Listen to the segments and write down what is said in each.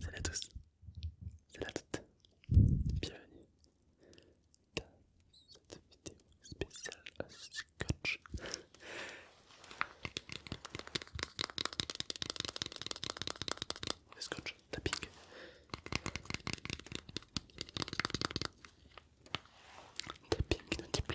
Salut à tous, salut à toutes, bienvenue dans cette vidéo spéciale à Scotch. Le Scotch tapping. Tapping inaudible.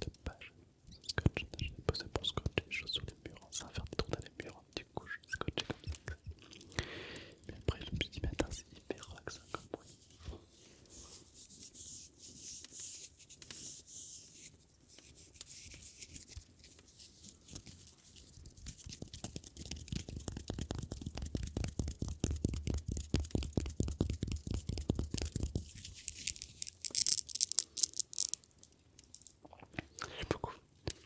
Je page, j'ai posé pour scotcher les choses sur les murs, sans faire des trous dans les murs, du coup je scotché comme ça. Mais après je me suis dit, attends, c'est hyper relaxant comme bruit. Merci beaucoup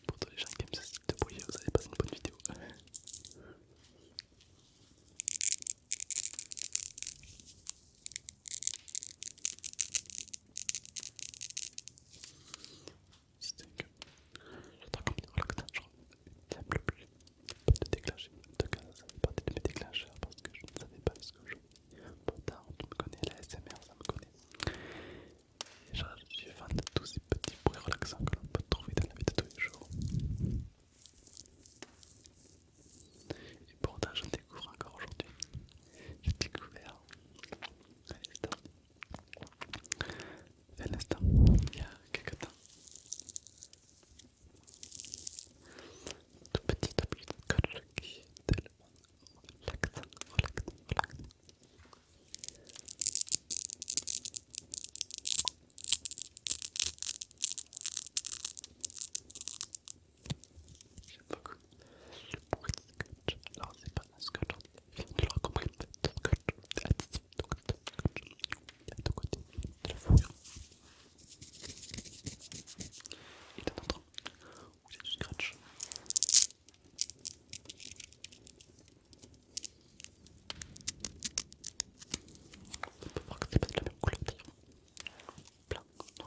pour tous les gens qui aiment ce type de bruit, vous avez passé une bonne vidéo. C'est que le temps qu'on je genre, il n'y a plus de déclencher. En tout cas, ça fait partie de mes déclencheurs parce que je ne savais pas ce que je Pourtant, on me connaît la SMR, ça me connaît. Et je suis fan de tous ces petits bruits relaxants que l'on peut trouver dans la vie de tous les jours. Et pourtant j'en découvre encore aujourd'hui. J'ai découvert allez l'instant. un instant, il y a quelques temps. Tout petit à petit, colle qui est tellement J'aime beaucoup. du scratch, Alors, c'est pas un scratch tu l'auras compris, c'est un scotch additif. Donc, c'est un scotch à deux côtés de la fourrure. Et d'un autre, où il y a du scratch. On peut voir que c'est pas de la même couleur d'ailleurs. Blanc, non,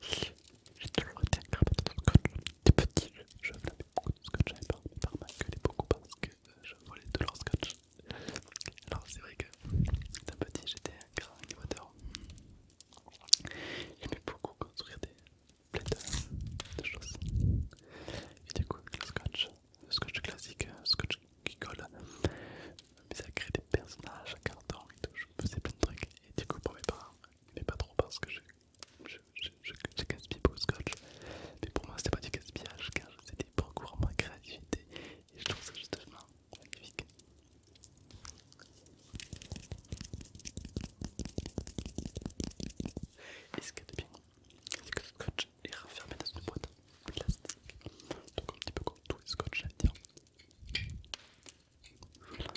J'ai toujours été un grand de scotch. Des petits, je beaucoup de scotch, j'avais par de me faire beaucoup parce que euh, je voulais de leur scotch. Alors c'est vrai que d'un petit, j'étais un grand animateur. J'aimais beaucoup construire des plein de, choses. Et du coup, le scotch, le scotch classique, le scotch qui colle, ça crée des personnages à carton et tout. Je faisais plein de trucs. Et du coup, pour mes parents, mais pas trop parce que je je, casse le scotch, mais pour moi c'était pas du gaspillage car c'était pour cours ma créativité et je trouve ça justement magnifique. Et ce qui est bien, c'est que le scotch est refermé dans une boîte plastique, donc un petit peu comme tous les scotch, j'allais dire. Fuck. pas.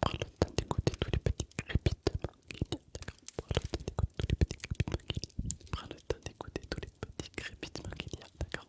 Prends le temps d'écouter tous les petits crépitements qu'il y a, d'accord Prends le temps d'écouter tous les petits crépitements qu'il y a, d'accord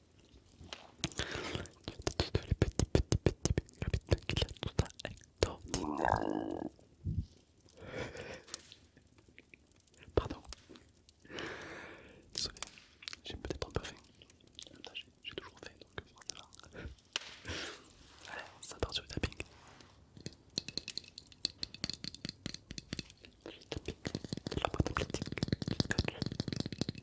les petits, petits, petits, petits petits tout Pardon. Désolé, j'ai peut-être un peu faim J'ai toujours faim, donc euh, voilà. Allez, ça part sur le tapping. tapping, la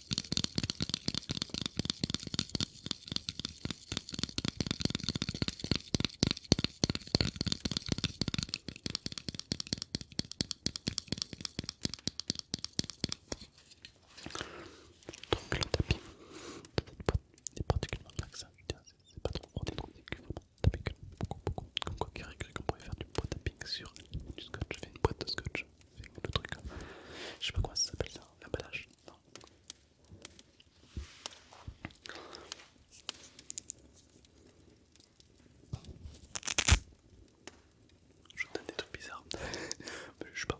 Donc le tapis de pas pote est particulièrement relaxant, c'est pas trop gros des trous vraiment vraiment tapis beaucoup beaucoup, comme quoi qui on pourrait faire du poids tapping sur du scotch, je fais une boîte de scotch le truc. Je sais pas comment ça s'appelle ça, l'emballage. Non. Je donne des trucs bizarres, je sais pas.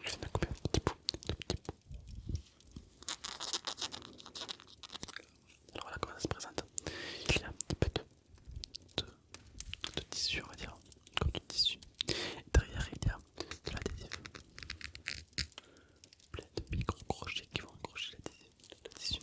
Je vais me couper un petit bout, Alors voilà comment ça se présente. Il y a un petit peu de, de tissu, on va dire, comme du tissu. Derrière, il y a c'est de l'adhésif. Plein de micro-crochets qui vont accrocher l'adhésif.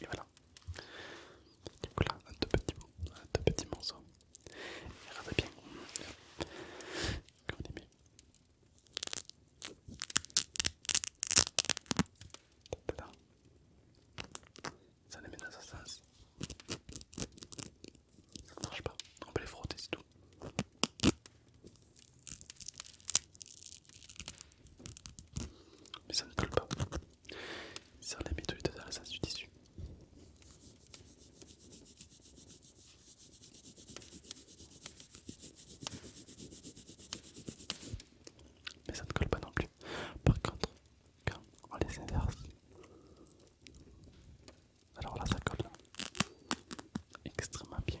Et voilà. Donc là, deux petits mots, deux petits morceaux. Et regardez bien. Qu'on aimait. Là. Ça les met dans sa sens. Ça ne marche pas. On peut les frotter, c'est tout mais ça ne colle pas. C'est les méthodes de la résistance du tissu. Mais ça ne colle pas non plus. Par contre, quand on les inverse, alors là ça colle extrêmement bien.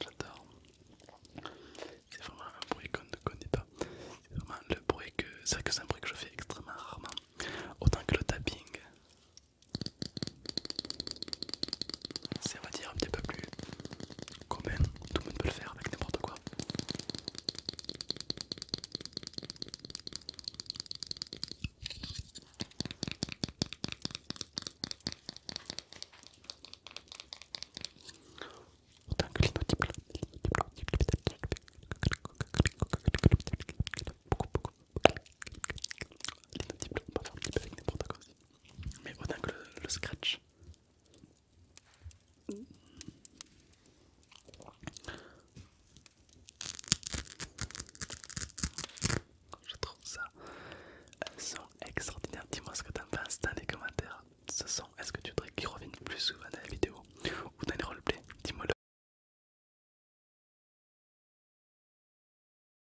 J'adore. C'est vraiment un bruit qu'on ne connaît pas. C'est vraiment le bruit que. C'est que c'est un bruit que je fais extrêmement rarement. Autant que le tapping. C'est on va dire un petit peu plus Combien tout le monde peut le faire avec n'importe quoi. Autant que on faire avec quoi Mais autant que le scratch, je trouve ça un son extraordinaire. Dis-moi ce que t'en penses dans les commentaires. Ce son, est-ce que tu voudrais qu'il revienne plus souvent dans la vidéo ou dans les roleplays Dis-moi le.